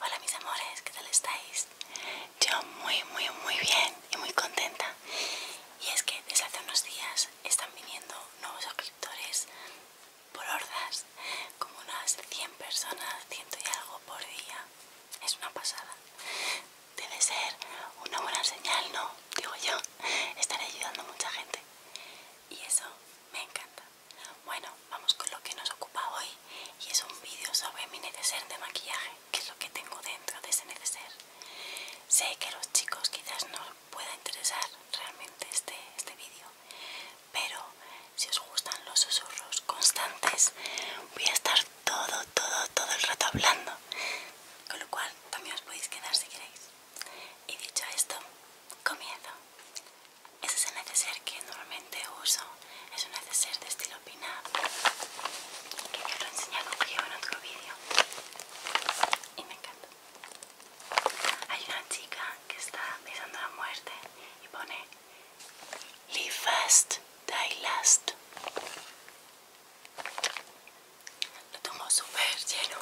Hola mis amores, ¿qué tal estáis? Yo muy muy muy bien y muy contenta. Y es que desde hace unos días están viniendo nuevos suscriptores por hordas, como unas 100 personas, ciento y algo por día. Es una pasada. Debe ser una buena señal, ¿no? Digo yo, estaré ayudando a mucha gente. Y eso me encanta. Bueno, vamos con lo que nos ocupa hoy y es un vídeo sobre mi neceser de maquillaje, que es lo que tengo dentro de ese neceser. Sé que a los chicos quizás no os pueda interesar realmente este, este vídeo, pero si os gustan los susurros constantes, voy a estar todo, todo, todo el rato hablando, con lo cual también os podéis quedar si queréis. Y dicho esto, comienzo. Ese es el neceser que normalmente uso. Es un neceser de estilo pin que yo lo he enseñado en otro vídeo y me encanta. Hay una chica que está besando la muerte y pone Live fast, die last. Lo tomo súper lleno.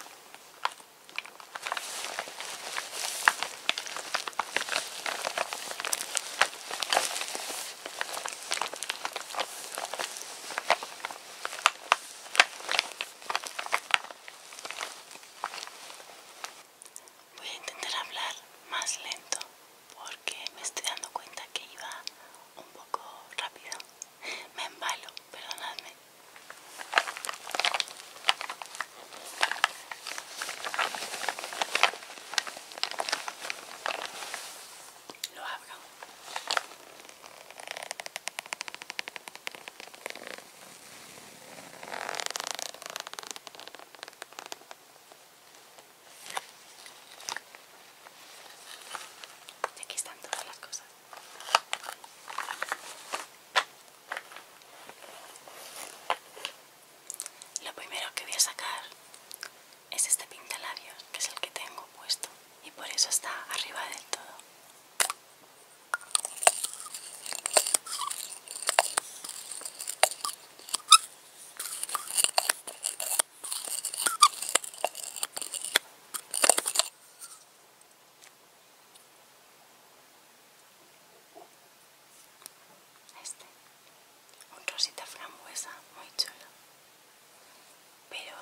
Voy a intentar hablar más lento porque me estoy dando cuenta que iba un poco rápido. Me embalo, perdonadme. Lo abro. Y aquí están todas las cosas. Lo primero que voy a sacar es este pintalabios, que es el que tengo puesto y por eso está arriba del todo este un rosita frambuesa muy chulo pero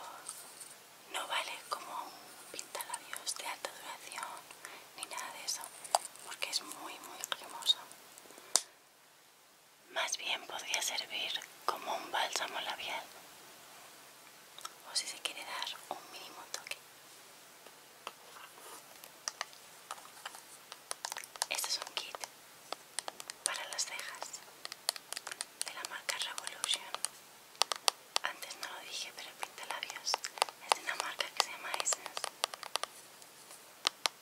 no vale como un pintalabios de alta duración ni nada de eso porque es muy muy cremoso más bien podría servir como un bálsamo labial o si se quiere dar un mínimo toque este es un kit para las cejas de la marca Revolution. Antes no lo dije, pero pinta labios es de una marca que se llama Essence.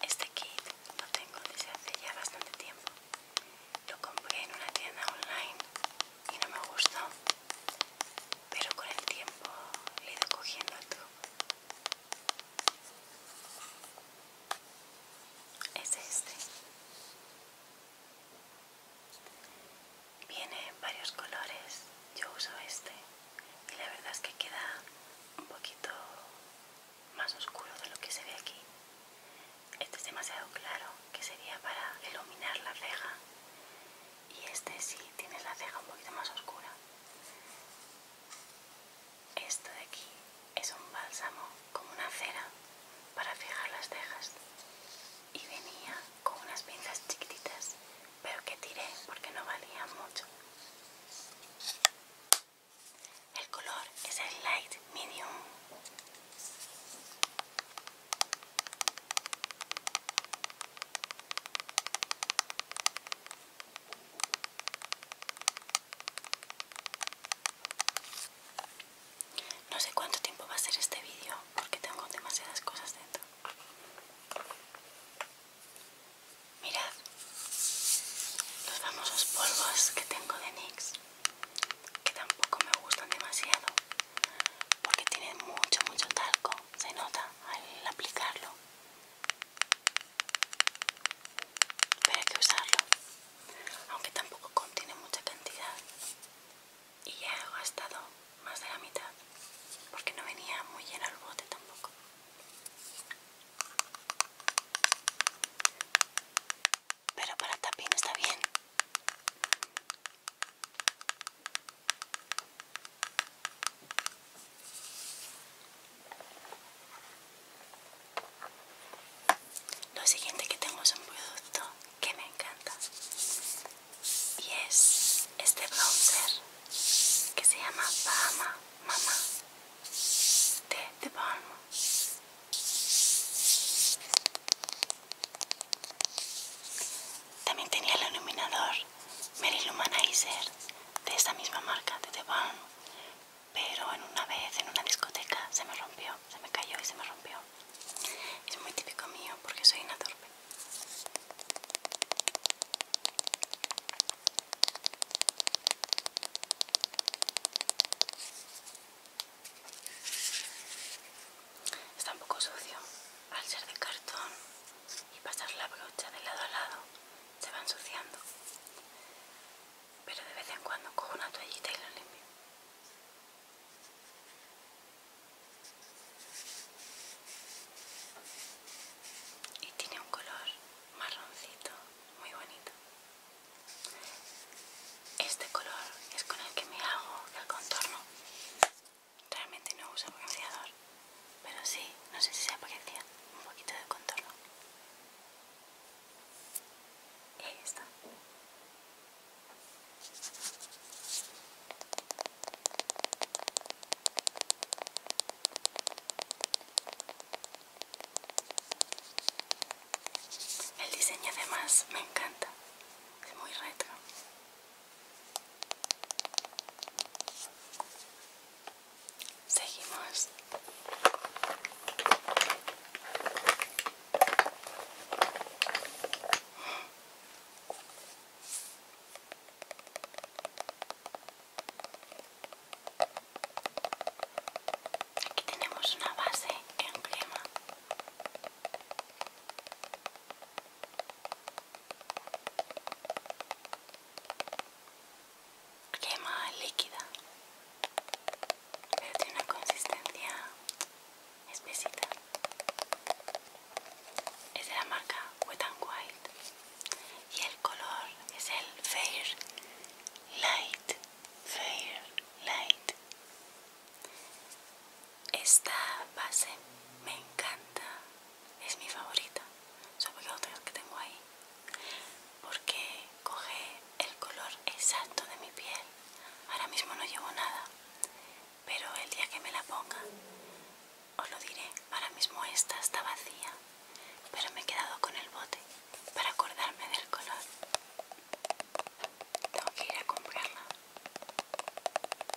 Este kit lo tengo desde hace ya bastante tiempo. Lo compré en una tienda online y no me gustó, pero con el tiempo le he ido cogiendo el truco es este viene en varios colores yo uso este y la verdad es que queda un poquito más oscuro de lo que se ve aquí este es demasiado claro que sería para iluminar la ceja y este sí tienes la ceja un poquito más oscura. Esto de aquí es un bálsamo como una cera para fijar las cejas y venía con unas pinzas chiquititas, pero que tiré porque no valía mucho. El color es el light medium. No sé cuánto tiempo va a ser este vídeo porque tengo demasiadas cosas dentro. Mirad los famosos polvos que tengo de NYX que tampoco me gustan demasiado porque tienen mucho mucho talco, se nota al aplicarlo pero hay que usarlo aunque tampoco contiene mucha cantidad y ya he gastado más de la mitad porque no venía muy lleno el bote tampoco pero para tapín está bien lo siguiente que tengo es un producto que me encanta y es este bronzer que se llama Bahama Mama de The Balm. También tenía el iluminador Meryl Humanizer de esta misma marca, de The pero en una vez en una discoteca se me rompió, se me cayó y se me rompió. Es muy típico mío porque soy una torpe. Está un poco sucio al ser de cartón y pasar la brocha de lado a lado se va ensuciando. Pero de vez en cuando cojo una toallita y lo limpio. Y tiene un color marroncito, muy bonito. Este color es con el que me hago el contorno Realmente no uso bronceador, pero sí, no sé si se aprecia un poquito de contorno. Y ahí está. El diseño además me encanta, es muy retro. Seguimos. Aquí tenemos una base en crema crema líquida pero tiene una consistencia espesita es de la marca Wet n Wild y el color es el Fair Light Fair Light esta base me encanta es mi favorita sobre todo que tengo ahí porque coge el color exacto de mi piel ahora mismo no llevo nada pero el día que me la ponga os lo diré ahora mismo esta está vacía pero me he quedado con el bote para acordarme del color tengo que ir a comprarla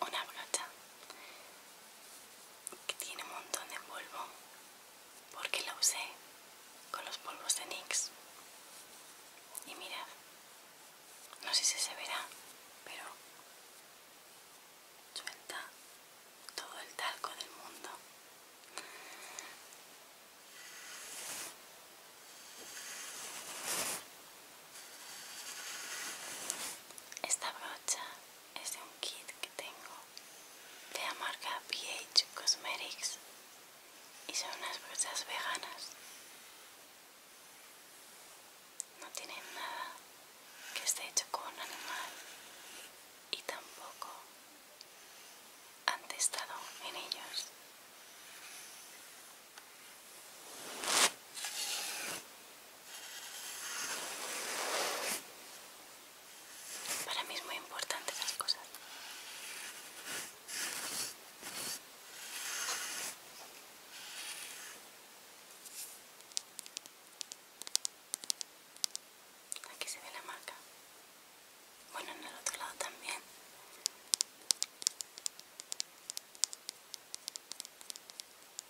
una brocha que tiene un montón de polvo porque la usé con los polvos de NYX y mirad no sé si se verá pero suelta todo el talco del mundo esta brocha es de un kit que tengo de la marca PH Cosmetics y son unas brochas veganas. No tienen nada que esté hecho con un animal y tampoco han testado en ellos. Para mí es muy importante las cosas. Aquí se ve la marca. Bueno, en el otro lado también.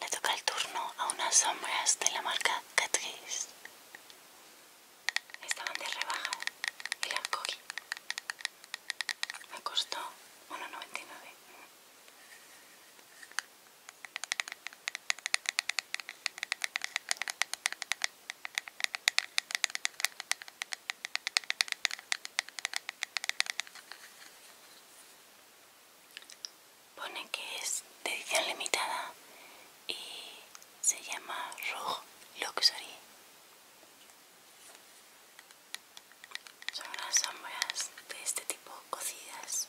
Le toca el turno a unas sombras de la marca Catrice. Estaban de rebaja y las Me costó 1,99. Pone que es de edición limitada y se llama Rouge Luxury. Son unas sombras de este tipo cocidas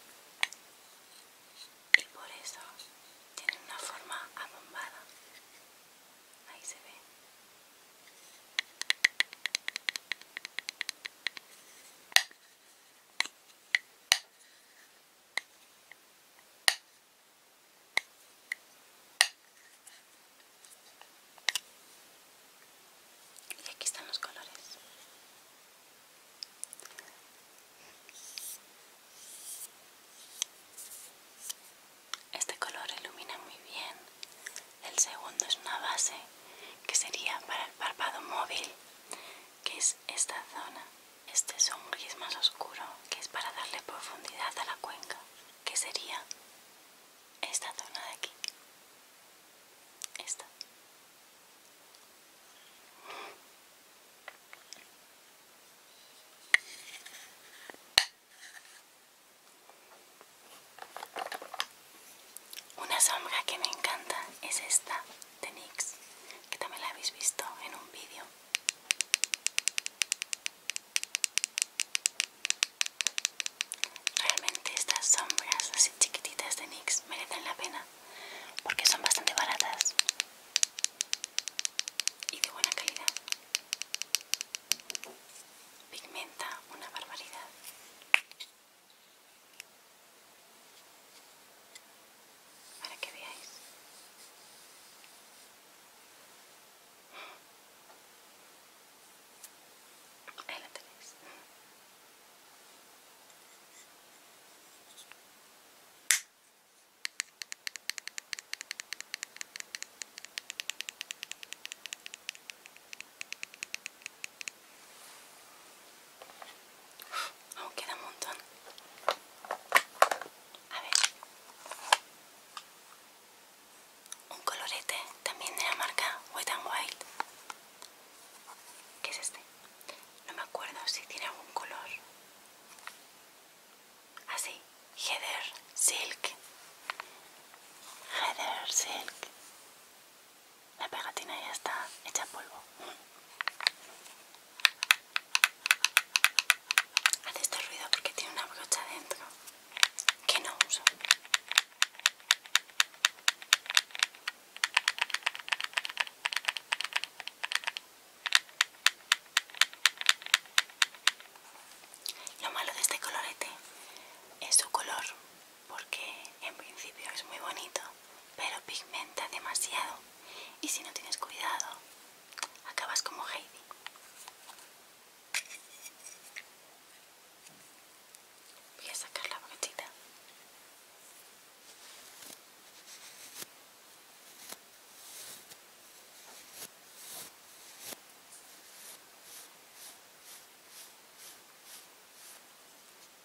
y por eso tienen una forma abombada. Ahí se ve. Y aquí están los colores. Este color ilumina muy bien. El segundo es una base que sería para el párpado móvil que es esta zona. Este es más oscuro, que es para darle profundidad a la cuenca, que sería esta zona de aquí. Esta. Una sombra que me encanta es esta de NYX que también la habéis visto en un vídeo realmente estas sombras así chiquititas de NYX merecen la pena porque son bastante baratas y de buena calidad pigmenta una barbaridad para que veáis. Ahí la tenéis. Aún queda un montón. A ver. Un colorete también de la marca Wet and Wild. ¿Qué es este? No me acuerdo si tiene algún color. Así, ah, Heather Silk. Heather Silk. La pegatina ya está hecha polvo. Hace este ruido porque tiene una brocha dentro que no uso. Lo malo de este colorete es su color porque en principio es muy bonito pero pigmenta demasiado y si no tienes cuidado acabas como Heidi. Voy a sacar la brochita.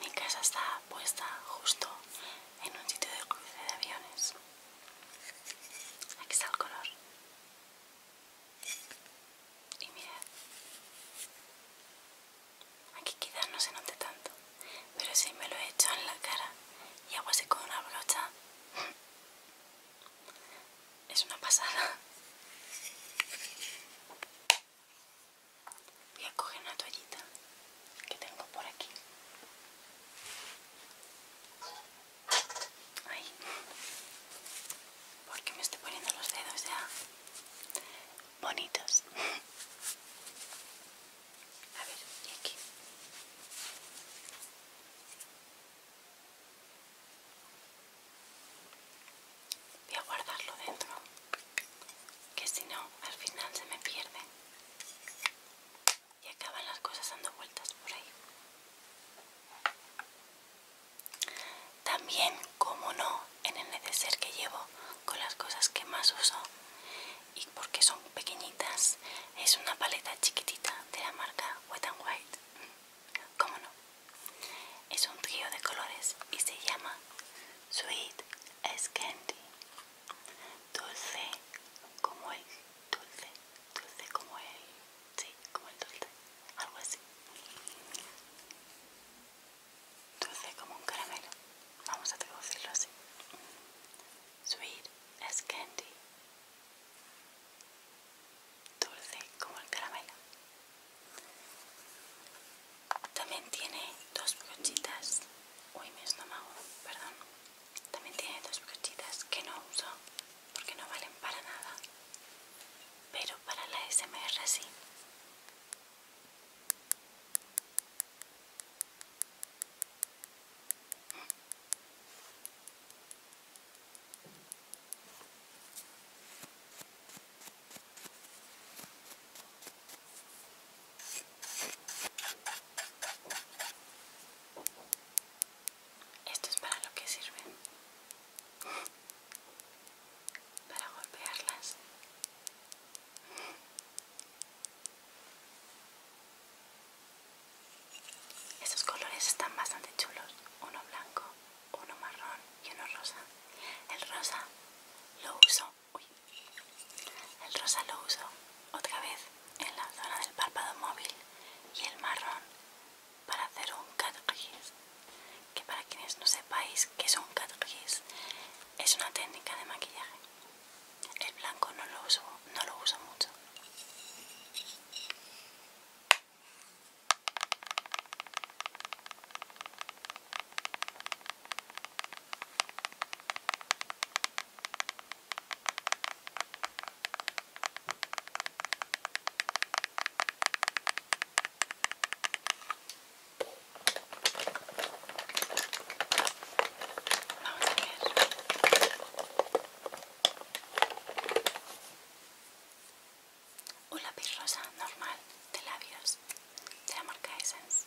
Mi casa está puesta justo en un sitio de cruce de aviones. Aquí está el color. Y mirad. Aquí quizás no se note tanto, pero si me lo he hecho en la cara y hago así con una brocha, es una pasada. Voy a coger una toallita que tengo por aquí. Ay, porque me estoy poniendo los dedos ya bonitos. A ver, y aquí. Voy a guardarlo dentro que si no al final se me pierde y acaban las cosas dando vueltas por ahí. También, como no, en el neceser que llevo con las cosas que más uso y porque son pequeñitas, es una paleta chiquitita de la marca Wet n White. Como no, es un trío de colores y se llama Sweet as Candy dulce como el dulce, dulce como el, sí, como el dulce, algo así, dulce como un caramelo, vamos a traducirlo así, sweet as candy, dulce como el caramelo. También tiene dos brochitas. Uy, mi estómago, perdón. También tiene dos brochitas que no uso porque no valen para nada. Pero para la SMR sí. Esto es para lo que sirve. Para golpearlas. Estos colores están bastante chulos. Uno blanco, uno marrón y uno rosa. El rosa lo uso el rosa lo uso otra vez en la zona del párpado móvil y el marrón para hacer un cat Que para quienes no sepáis qué es un es una técnica de maquillaje. El blanco no lo uso, no lo uso mucho. Vamos a Una lápiz rosa normal de labios de la marca Essence.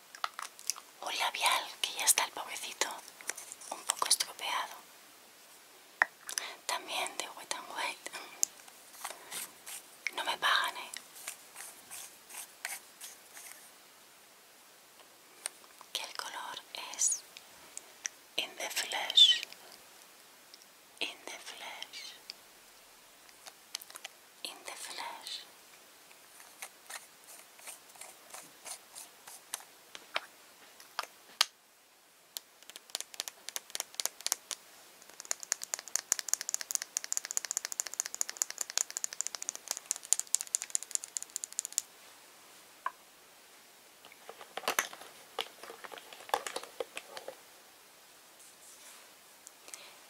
un labial que ya está el pobrecito un poco estropeado también de Wet and White. no me pagan eh que el color es in the flesh in the flesh in the flesh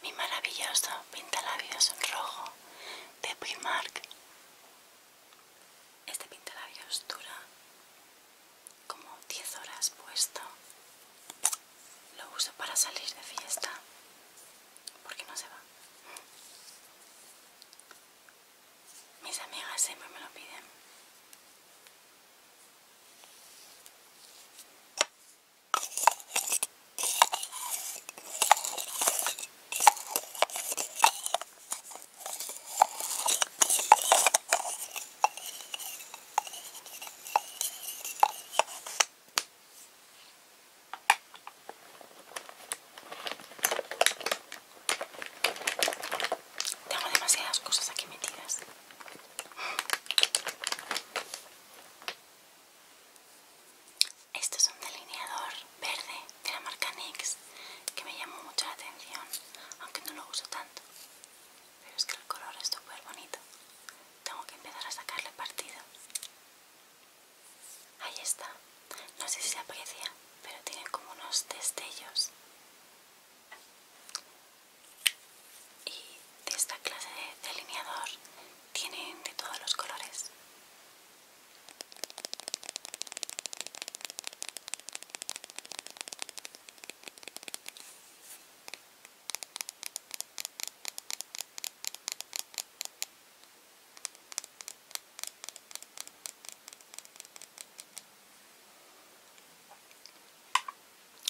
mi maravilloso pintalabios rojo de Primark este pintalabios dura como 10 horas puesto. Lo uso para salir de fiesta porque no se va. Mis amigas siempre me lo piden. Tengo demasiadas cosas aquí metidas esto es un delineador verde de la marca NYX que me llamó mucho la atención, aunque no lo uso tanto. Pero es que el color es súper bonito. Tengo que empezar a sacarle partido. Ahí está. No sé si se aprecia, pero tiene como unos destellos. Y de esta clase de delineador tienen de todos los colores.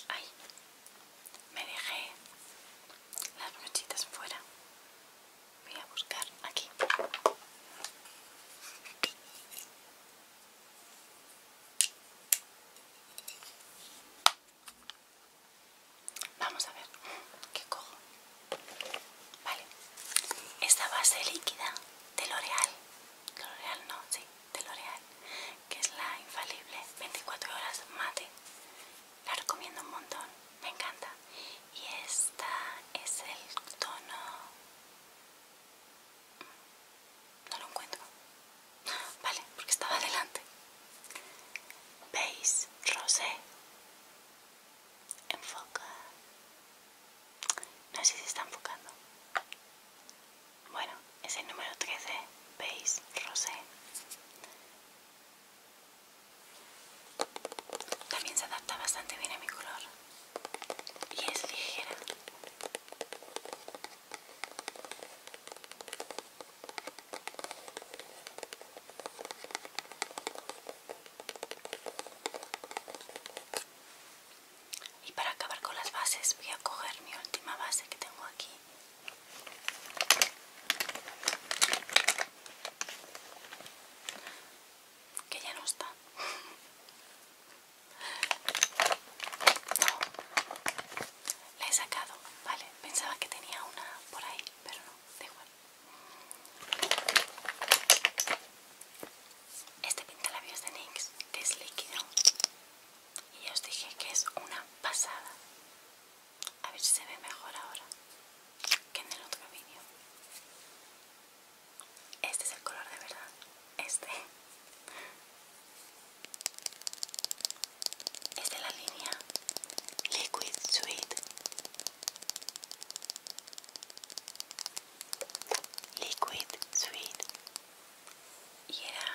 Ay, me dejé las brochitas fuera voy a buscar aquí vamos a ver qué cojo vale esta base líquida de L'Oreal L'Oreal no, sí, de L'Oreal que es la infalible 24 horas mate la recomiendo un montón, me encanta. Y esta es el tono... Mm, no lo encuentro. Vale, porque estaba adelante. base rosé. Enfoca. No sé si se está enfocando. Bueno, es el número 13, base rosé. También se adapta bastante bien a mi color y es ligera. Y para acabar con las bases voy a coger mi última base que tengo aquí que ya no está. No, la he sacado, vale. Pensaba que tenía una por ahí, pero no, da igual. Este pintalabios de NYX, que es líquido, y ya os dije que es una pasada. A ver si se ve mejor ahora que en el otro vídeo. Este es el color de verdad. Este. Es de la línea Liquid Sweet. Liquid Sweet. Y era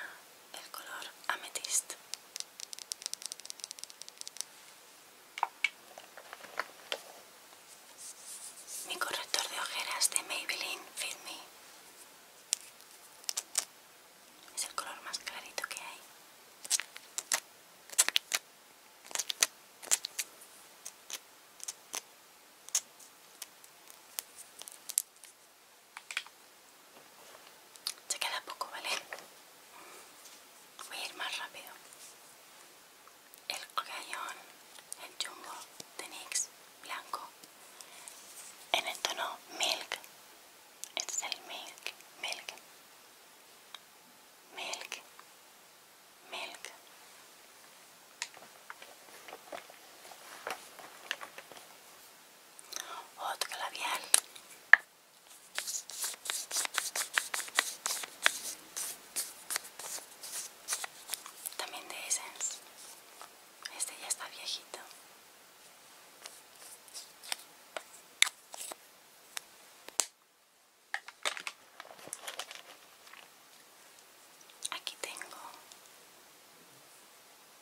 el color amethyst. Mi corrector de ojeras de Maybelline Fit Me. Es el color más clarito que hay. Se queda poco, ¿vale? voy a ir más rápido el cañón, el jumbo de nix, blanco en el tono milk este es el milk milk milk milk otro labial también de Essence. Este ya está viejito. Aquí tengo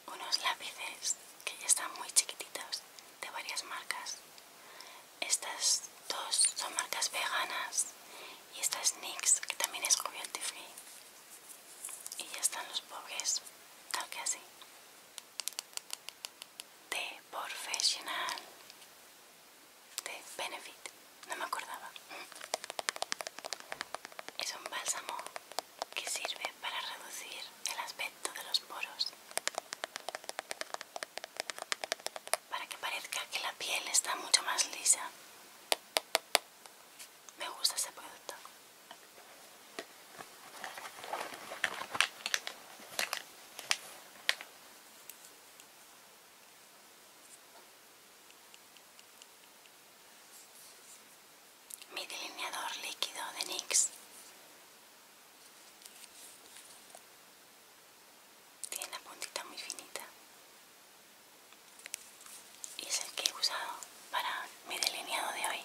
unos lápices que ya están muy chiquititos de varias marcas estas dos son marcas veganas y esta es NYX que también es cruelty free y ya están los pobres tal que así de Professional de Benefit no me acordaba es un bálsamo que sirve para reducir el aspecto de los poros para que parezca que la piel está mucho más lisa. Me gusta ese producto. Mi delineador líquido de NYX tiene la puntita muy finita y es el que he usado para mi delineado de hoy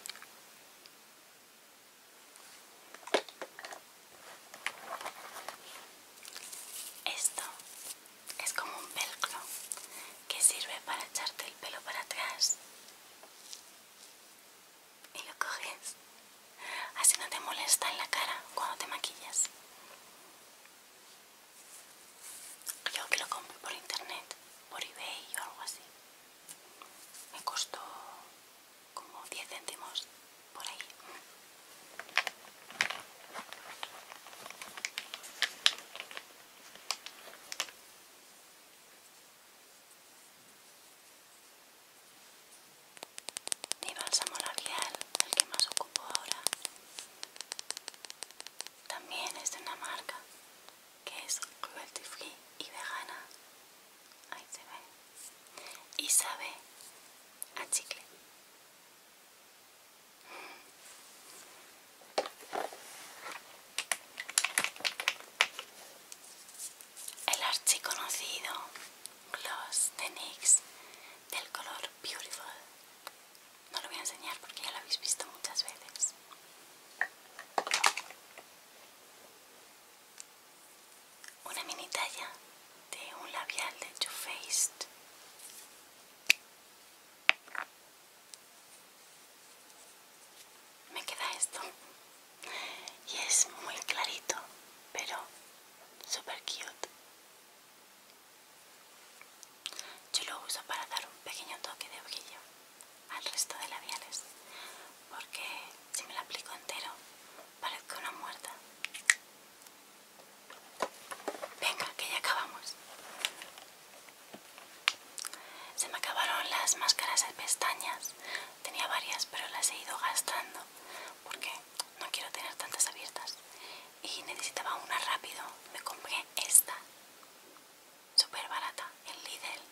esto es como un pelcro que sirve para echarte el pelo para atrás y lo coges. Así no te molesta en la cara cuando te maquillas. Yo que lo compré por internet, por ebay o algo así. Me costó como 10 céntimos por ahí. Mi bálsamo labial, el que más ocupo ahora, también es de una marca que es cruelty free y vegana. Ahí se ve. Y sabe a chicle. El archiconocido gloss de NYX del color Beautiful. No lo voy a enseñar porque ya lo habéis visto muchas veces. Una mini talla de un labial de Too Faced. Me queda esto y es muy clarito pero super cute yo lo uso para dar un pequeño toque de brillo al resto de labiales porque si me lo aplico entero parezco una muerta venga que ya acabamos se me acabaron las máscaras de pestañas tenía varias pero las he ido gastando porque no quiero tener tantas abiertas y necesitaba una rápido me compré esta súper barata en Lidl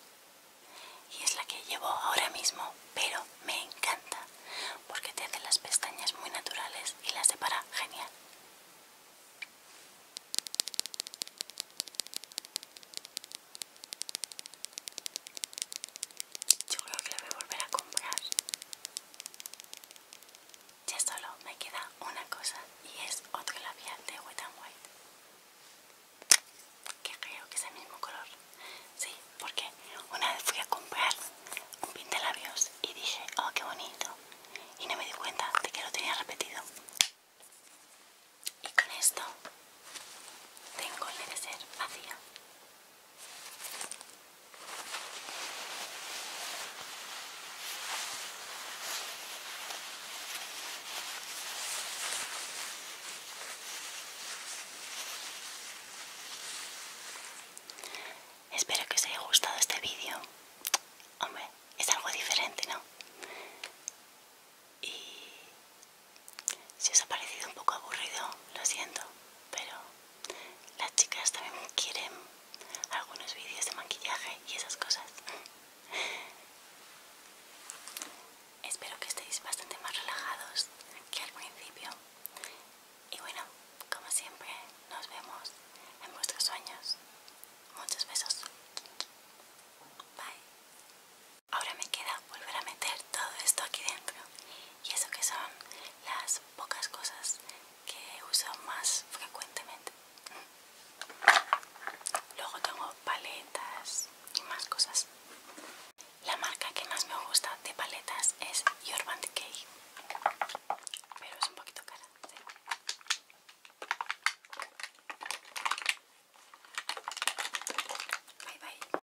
y es la que llevo ahora mismo pero me encanta porque te hace las pestañas muy naturales y las separa genial yo creo que lo voy a volver a comprar. Ya solo me queda una cosa y es otro labial de Wet and White. Que creo que es el mismo color. Sí, porque una vez fui a comprar un de labios y dije, oh, qué bonito. Y no me di cuenta de que lo tenía repetido. Y con esto tengo el de ser vacío. Espero que os haya gustado este vídeo. Hombre, es algo diferente, ¿no? Y si os ha parecido un poco aburrido, lo siento, pero las chicas también quieren algunos vídeos de maquillaje y esas cosas. Espero que estéis bastante más relajados que al principio. Y bueno, como siempre, nos vemos en vuestros sueños. Muchos besos. Bye. Ahora me queda volver a meter todo esto aquí dentro y eso que son las pocas cosas que uso más frecuentemente. Luego tengo paletas y más cosas. La marca que más me gusta de paletas es Urban Decay, pero es un poquito cara. Bye bye.